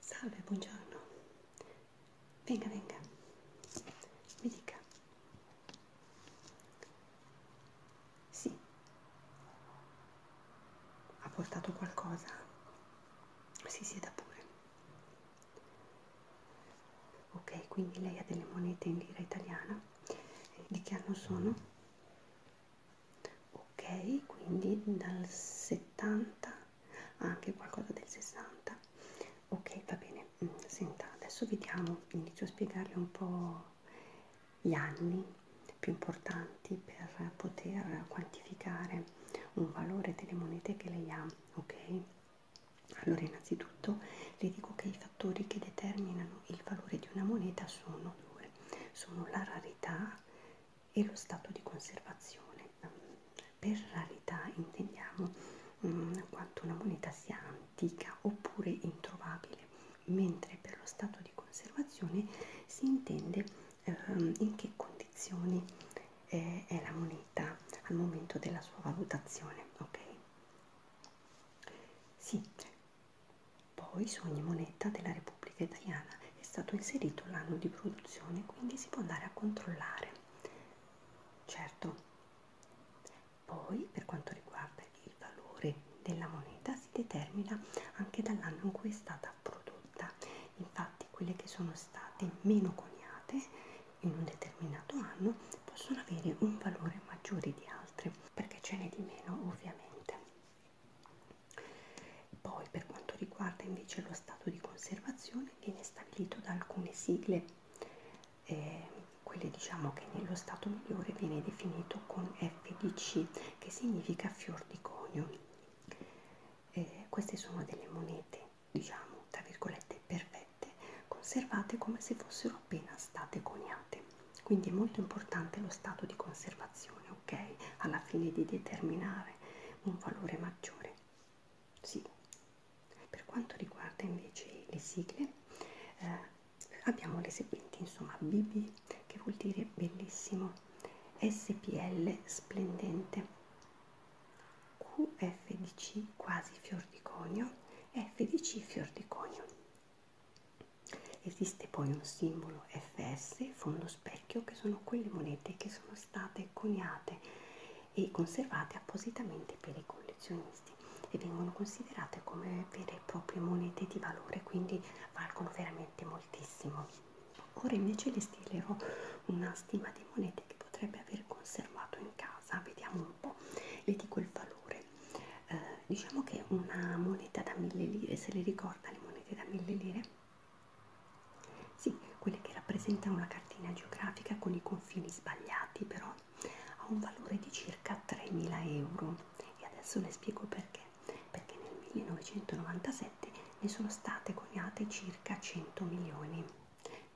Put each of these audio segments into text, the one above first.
Salve, buongiorno. Venga, venga. Mi dica. Sì. Ha portato qualcosa? Si sieda pure. Ok, quindi lei ha delle monete in lira italiana? di che anno sono? ok quindi dal 70 anche qualcosa del 60 ok va bene mm, senta adesso vediamo inizio a spiegarle un po gli anni più importanti per poter quantificare un valore delle monete che lei ha ok allora innanzitutto Innanzitutto le dico che i fattori che determinano il valore di una moneta sono due, sono la rarità e lo stato di conservazione. Per rarità intendiamo mh, mm, quanto una moneta sia antica oppure introvabile, mentre per lo stato di conservazione si intende ehm, in che condizioni eh, è la moneta al momento della sua valutazione. Ok? Sì, poi su ogni moneta della Repubblica Italiana è stato inserito l'anno di produzione, quindi si può andare a controllare. Certo. Poi per quanto riguarda il valore della moneta si determina anche dall'anno in cui è stata prodotta. Infatti quelle che sono state meno coniate in un determinato anno possono avere un valore maggiore di altre perché ce n'è di meno ovviamente poi per quanto riguarda invece lo stato di conservazione viene stabilito da alcune sigle eh, quelle diciamo che nello stato migliore viene definito con FDC che significa fior di conio eh, queste sono delle monete diciamo tra virgolette perfette conservate come se fossero appena state coniate quindi è molto importante lo stato di conservazione, ok? Alla fine di determinare un valore maggiore. Sì. Per quanto riguarda invece le sigle, eh, abbiamo le seguenti, insomma, BB che vuol dire bellissimo, SPL splendente, QFDC quasi fior di conio, FDC fior di conio. Esiste poi un simbolo FS fondo specchio che sono quelle monete che sono state coniate e conservate appositamente per i collezionisti e vengono considerate come vere e proprie monete di valore, quindi valgono veramente moltissimo. Ora invece le stilerò una stima di monete che potrebbe aver conservato in casa, vediamo un po', le dico il valore eh, diciamo che una moneta da mille lire se le ricorda le monete da mille lire sì quelle che rappresentano la cartina geografica con i confini sbagliati però ha un valore di circa 3.000 euro e adesso le spiego perché perché nel 1997 ne sono state coniate circa 100 milioni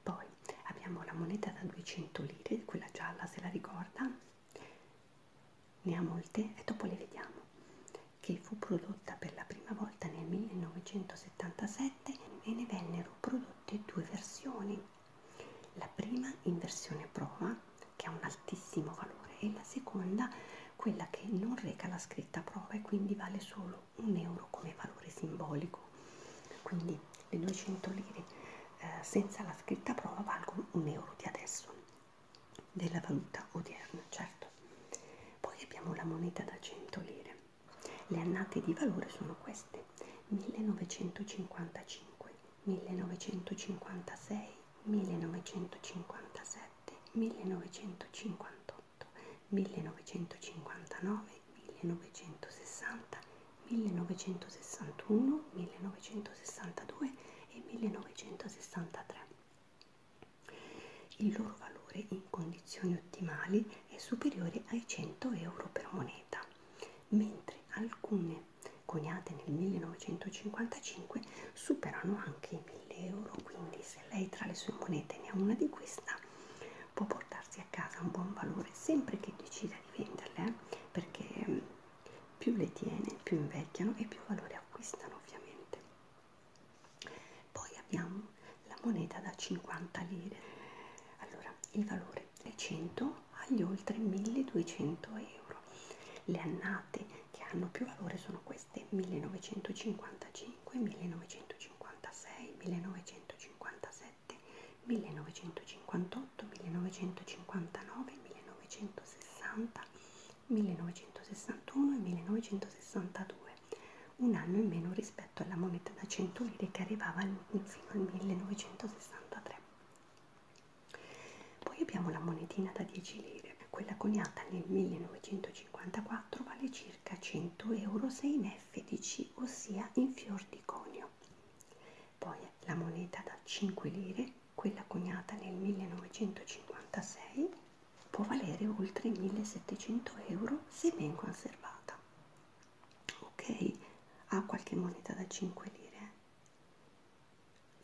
poi abbiamo la moneta da 200 lire quella gialla se la ricorda ne ha molte e dopo le vediamo, che fu prodotta per la prima volta nel 1977 e ne vennero prodotte due versioni, la prima in versione prova che ha un altissimo valore e la seconda quella che non reca la scritta prova e quindi vale solo un euro come valore simbolico quindi le 200 lire eh, senza la scritta prova valgono un euro di adesso della valuta odierna, certo. Poi abbiamo la moneta da 100 lire. Le annate di valore sono queste: 1955, 1956, 1957, 1958, 1959, 1960 1961, 1962 e 1963. Il loro valore in condizioni ottimali è superiore ai 100 euro per moneta, mentre alcune coniate nel 1955 superano anche i 1000 euro, quindi se lei tra le sue monete ne ha una di questa può portarsi a casa un buon valore sempre che decida di venderle, eh, perché mm, più le tiene, più invecchiano e più valore acquistano ovviamente. Poi abbiamo la moneta da 50 lire. Allora, il valore dai 100 agli oltre 1200 euro. Le annate che hanno più valore sono queste 1955, 1956, 1957, 1958, 1959, 1960, 1961 e 1962, un anno in meno rispetto alla moneta da 100 lire che arrivava fino al 1963. Poi abbiamo la monetina da 10 lire, quella coniata nel 1954 vale circa 100 euro se in FDC, ossia in fior di conio poi la moneta da 5 lire, quella coniata nel 1956, può valere oltre 1700 euro se ben conservata. Ok, ha qualche moneta da 5 lire.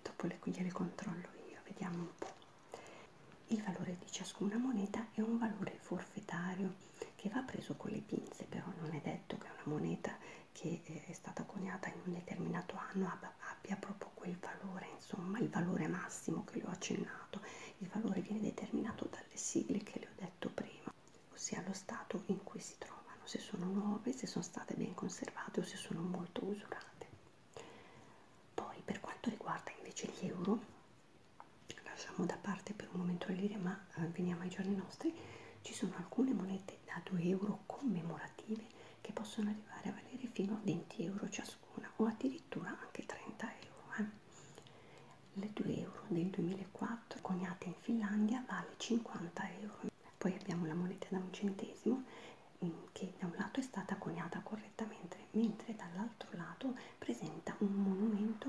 Dopo le, gliele controllo io, vediamo un po'. Il valore di ciascuna moneta è un valore forfettario che va preso con le pinze, però non è detto che una moneta che eh, è stata coniata in un determinato anno abbia proprio quel valore, insomma il valore massimo che le ho accennato, il valore viene determinato dalle sigle che le ho detto prima, ossia lo stato in cui si trovano, se sono nuove, se sono state ben conservate o se sono molto usurate. Poi per quanto riguarda invece gli euro, lasciamo da parte per un momento la lira ma eh, veniamo ai giorni nostri, ci sono alcune monete da 2 euro commemorative che possono arrivare a valere fino a 20 euro ciascuna o addirittura anche 30 euro. Eh. Le 2 euro del 2004 coniate in Finlandia vale 50 euro. Poi abbiamo la moneta da un centesimo mm, che da un lato è stata coniata correttamente mentre dall'altro lato presenta un monumento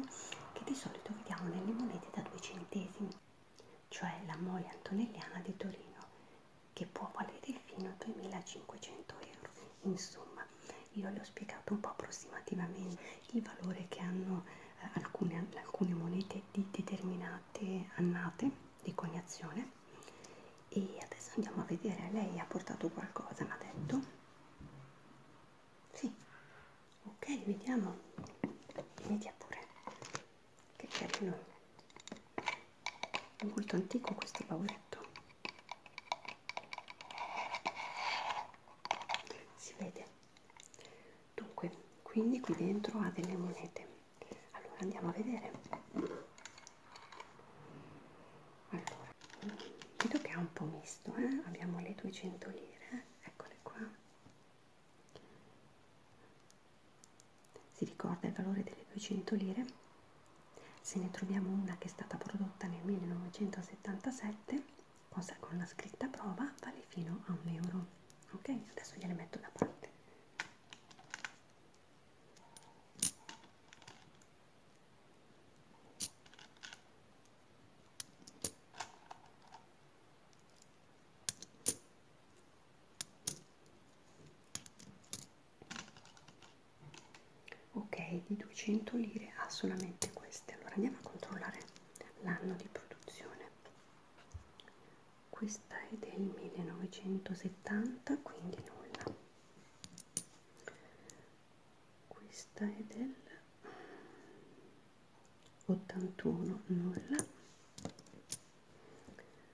che di solito vediamo nelle monete da 2 centesimi cioè la mole antonelliana di Torino, che può valere fino a 2500 euro. Insomma, io le ho spiegato un po' approssimativamente il valore che hanno eh, alcune, alcune monete di determinate annate di coniazione. E adesso andiamo a vedere, lei ha portato qualcosa, mi ha detto? Sì, ok, vediamo, media pure che carino è molto antico questo bauletto si vede dunque quindi qui dentro ha delle monete allora andiamo a vedere allora vedo che è un po' misto eh? abbiamo le 200 lire eh. eccole qua si ricorda il valore delle 200 lire? Se ne troviamo una che è stata prodotta nel 1977, cosa con la scritta prova vale fino a un euro. Ok, adesso gliele metto da parte ok di 200 lire ha solamente queste allora andiamo a controllare l'anno di produzione questa è del 1970 quindi nulla questa è del 81 nulla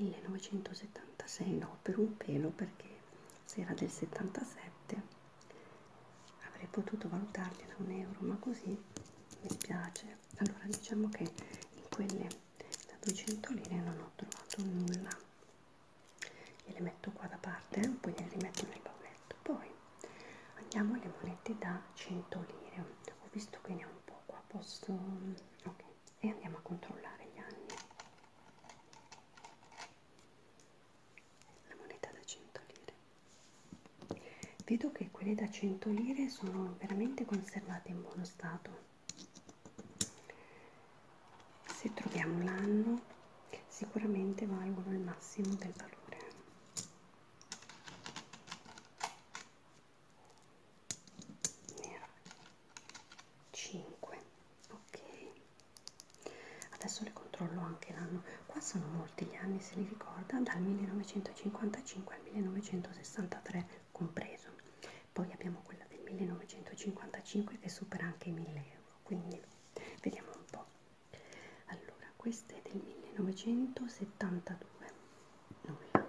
1976 no per un pelo perché se era del 77 avrei potuto valutarli da un euro ma così mi piace allora diciamo che in quelle da 200 lire non ho trovato nulla gliele metto qua da parte eh? poi gliele metto nel baunetto poi andiamo alle monete da 100 lire ho visto che ne ho un po' qua posso mm, ok e andiamo a controllare gli anni. La moneta da 100 lire. Vedo che quelle da 100 lire sono veramente conservate in buono stato. Se troviamo l'anno, sicuramente valgono il massimo del valore nera 5 ok adesso le controllo anche l'anno qua sono molti gli anni se li ricorda dal 1955 al 1963 compreso poi abbiamo quella del 1955 che supera anche i 1000 euro quindi vediamo un po' allora questa è del 1972 nulla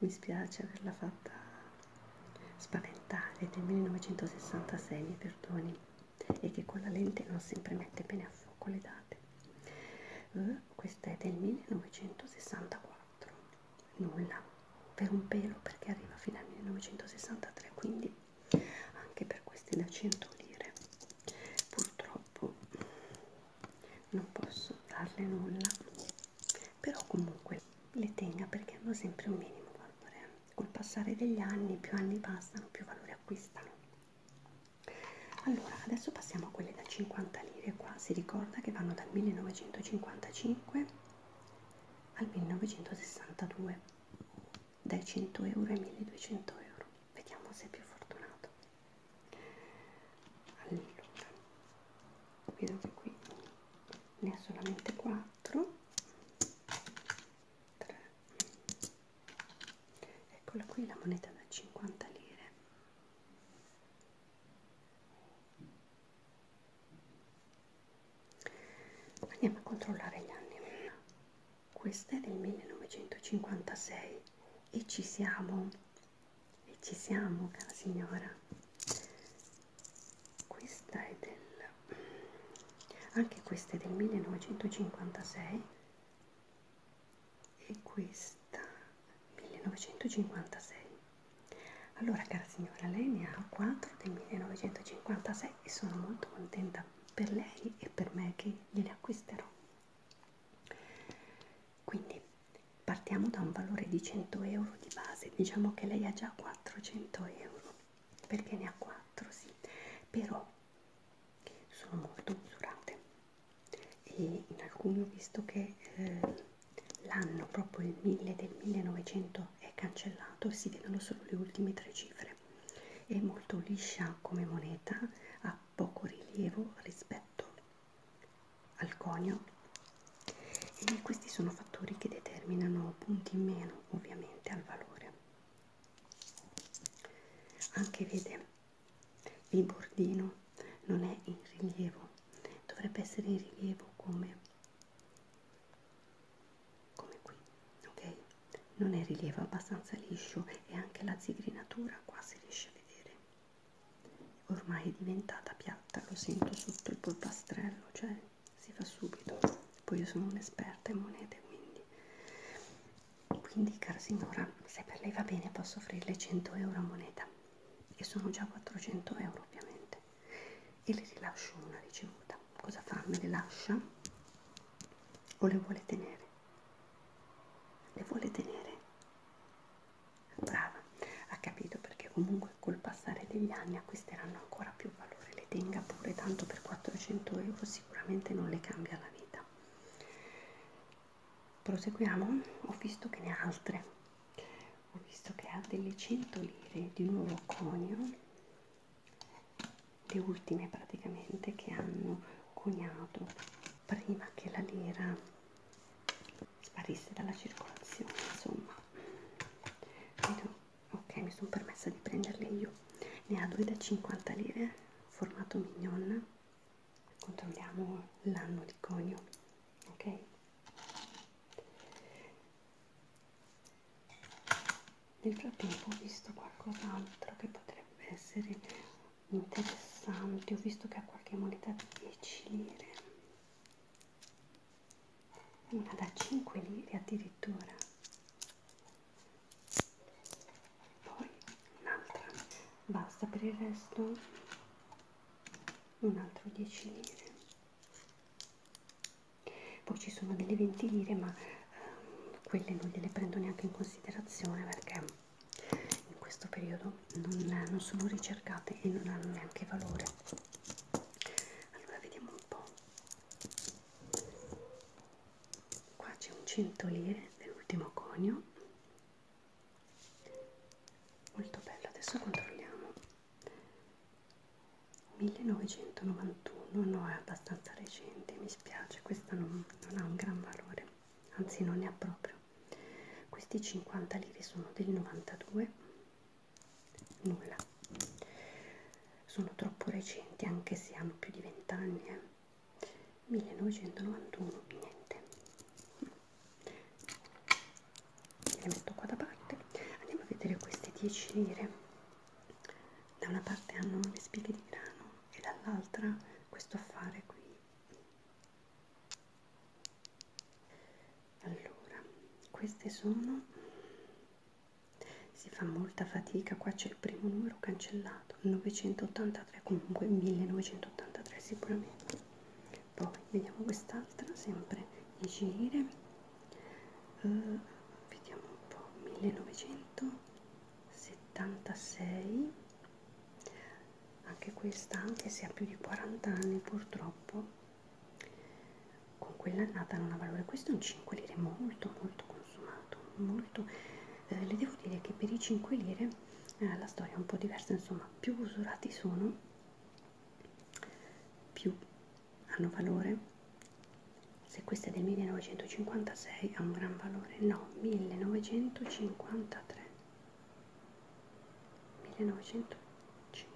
Mi spiace averla fatta spaventare del 1966, mi perdoni, e che con la lente non sempre mette bene a fuoco le date. Uh, questa è del 1964, nulla, per un pelo perché arriva fino al 1963, quindi anche per queste da 100 lire purtroppo non posso darle nulla però comunque le tenga perché hanno sempre un minimo valore col passare degli anni più anni passano più valore acquistano allora adesso passiamo a quelle da 50 lire qua si ricorda che vanno dal 1955 al 1962 dai 100 euro ai 1200 euro vediamo se è più fortunato allora vedo che qui ne ha solamente 4 3 eccola qui la moneta da 50 lire andiamo a controllare gli anni questa è del 1956 e ci siamo e ci siamo, cara signora. Questa è del... anche questa è del 1956 e questa 1956. Allora, cara signora, lei ne ha 4 del 1956 e sono molto contenta per lei e per me che gliele acquisterò. Quindi partiamo da un valore di 100 euro di base, diciamo che lei ha già 400 euro, perché ne ha 4, sì, però sono molto misurate e in alcuni ho visto che eh, l'anno proprio il 1000 del 1900 è cancellato e si vedono solo le ultime tre cifre è molto liscia come moneta ha poco rilievo rispetto al conio e questi sono fattori che determinano punti in meno ovviamente al valore anche vede il bordino non è in rilievo dovrebbe essere in rilievo come come qui ok non è rilievo è abbastanza liscio e anche la zigrinatura qua si riesce a vedere ormai è diventata piatta lo sento sotto il polpastrello cioè si fa subito poi io sono un'esperta in monete quindi quindi cara signora se per lei va bene posso offrirle 100 euro a moneta e sono già 400 euro ovviamente e le rilascio una ricevuta cosa fa me le lascia o le vuole tenere le vuole tenere brava ha capito perché comunque col passare degli anni acquisteranno ancora più valore le tenga pure tanto per 400 euro sicuramente non le cambia la vita proseguiamo ho visto che ne ha altre ho visto che ha delle 100 lire di nuovo conio le ultime praticamente che hanno coniato prima che la lira sparisse dalla circolazione insomma ok mi sono permessa di prenderle io ne ha due da 50 lire formato mignon controlliamo l'anno di conio ok nel frattempo ho visto qualcos'altro che potrebbe essere interessante ho visto che ha qualche moneta di 10 lire una da 5 lire addirittura poi un'altra basta per il resto un altro 10 lire poi ci sono delle 20 lire ma ehm, quelle non gliele prendo neanche in considerazione perché in questo periodo non, non sono ricercate e non hanno neanche valore allora vediamo un po' qua c'è un 100 lire dell'ultimo conio molto bello adesso controlliamo 1991 no è abbastanza recente mi spiace questa non, non ha un gran valore anzi non ne ha proprio questi 50 lire sono del 92 nulla sono troppo recenti anche se hanno più di vent'anni eh. 1991 niente le metto qua da parte andiamo a vedere queste 10 lire da una parte hanno le spighe di grano e dall'altra questo affare qui allora queste sono si fa molta fatica qua c'è il primo numero cancellato 983 comunque 1983 sicuramente poi vediamo quest'altra sempre agire uh, vediamo un po 1976 anche questa anche se ha più di 40 anni purtroppo con quell'annata non ha valore questo è un 5 lire molto molto consumato molto eh, le devo dire che per i 5 lire eh, la storia è un po' diversa insomma più usurati sono più hanno valore se questo è del 1956 ha un gran valore no 1953 1953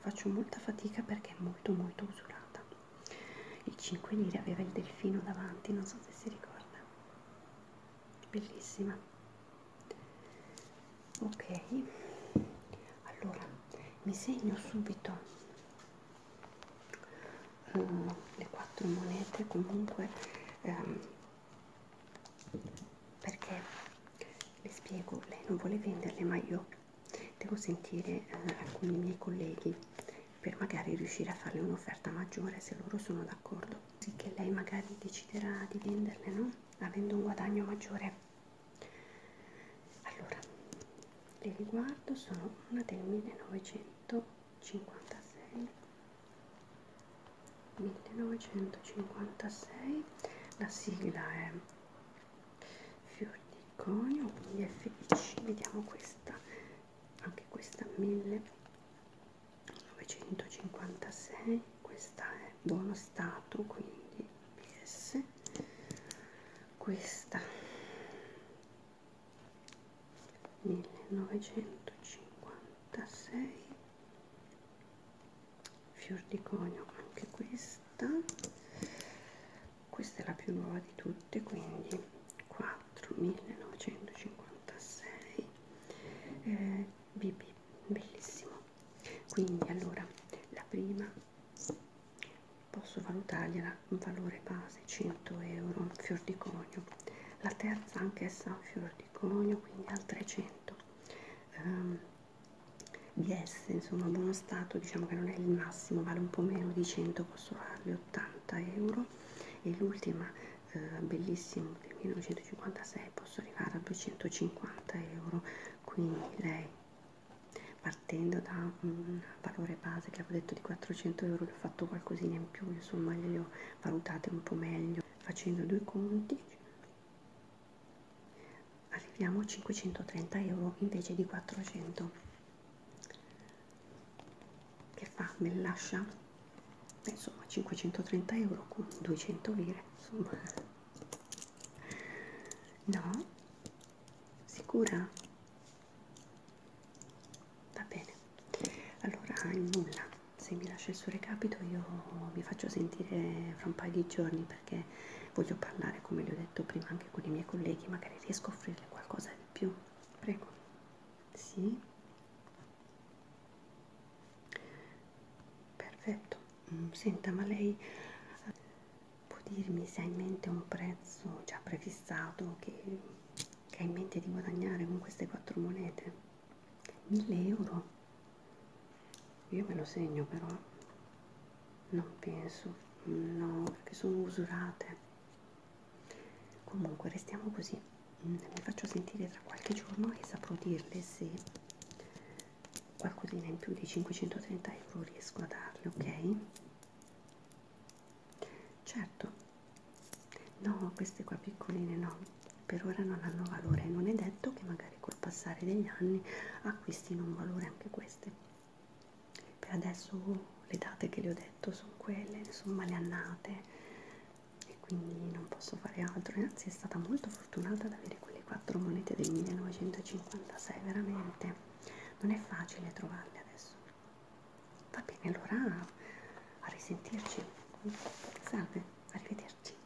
faccio molta fatica perché è molto molto usurata il 5 lire aveva il delfino davanti non so se si ricorda bellissima ok allora mi segno subito Uh, le quattro monete comunque um, perché le spiego lei non vuole venderle ma io devo sentire eh, alcuni miei colleghi per magari riuscire a farle un'offerta maggiore se loro sono d'accordo così che lei magari deciderà di venderle no avendo un guadagno maggiore allora le riguardo sono una del 1956 1956 la sigla è fior di conio quindi FIC vediamo questa anche questa 1956 questa è buono stato quindi PS questa 1956 fior di conio anche questa questa è la più nuova di tutte quindi 4956 eh, bb bellissimo quindi allora la prima posso valutargliela un valore base 100 euro fior di conio la terza anche essa un fior di conio quindi al 300 um, ehm, BS insomma buono stato diciamo che non è il massimo vale un po' meno di 100 posso farli 80 euro e l'ultima eh, bellissima del 1956 posso arrivare a 250 euro quindi lei partendo da un valore base che avevo detto di 400 euro le ho fatto qualcosina in più insomma le ho valutate un po' meglio facendo due conti arriviamo a 530 euro invece di 400 che fa me lascia eh, insomma 530 euro con 200 lire insomma no sicura va bene allora nulla se mi lascia il suo recapito io vi faccio sentire fra un paio di giorni perché voglio parlare, come vi ho detto prima, anche con i miei colleghi, magari riesco a offrirle qualcosa di più. Prego. Sì. Perfetto. Mm, senta, ma lei eh, può dirmi se ha in mente un prezzo già prefissato che, che ha in mente di guadagnare con queste quattro monete? 1000 euro? io me lo segno però non penso no perché sono usurate comunque restiamo così mm, mi faccio sentire tra qualche giorno e saprò dirle se qualcosina in più di 530 euro riesco a darle ok certo no queste qua piccoline no per ora non hanno valore non è detto che magari magari col passare degli anni acquistino un valore anche queste per adesso le date che le ho detto sono quelle insomma le annate e quindi non posso fare altro anzi è stata molto fortunata ad avere quelle quattro monete del 1956 veramente non è facile trovarle adesso va bene allora a risentirci salve arrivederci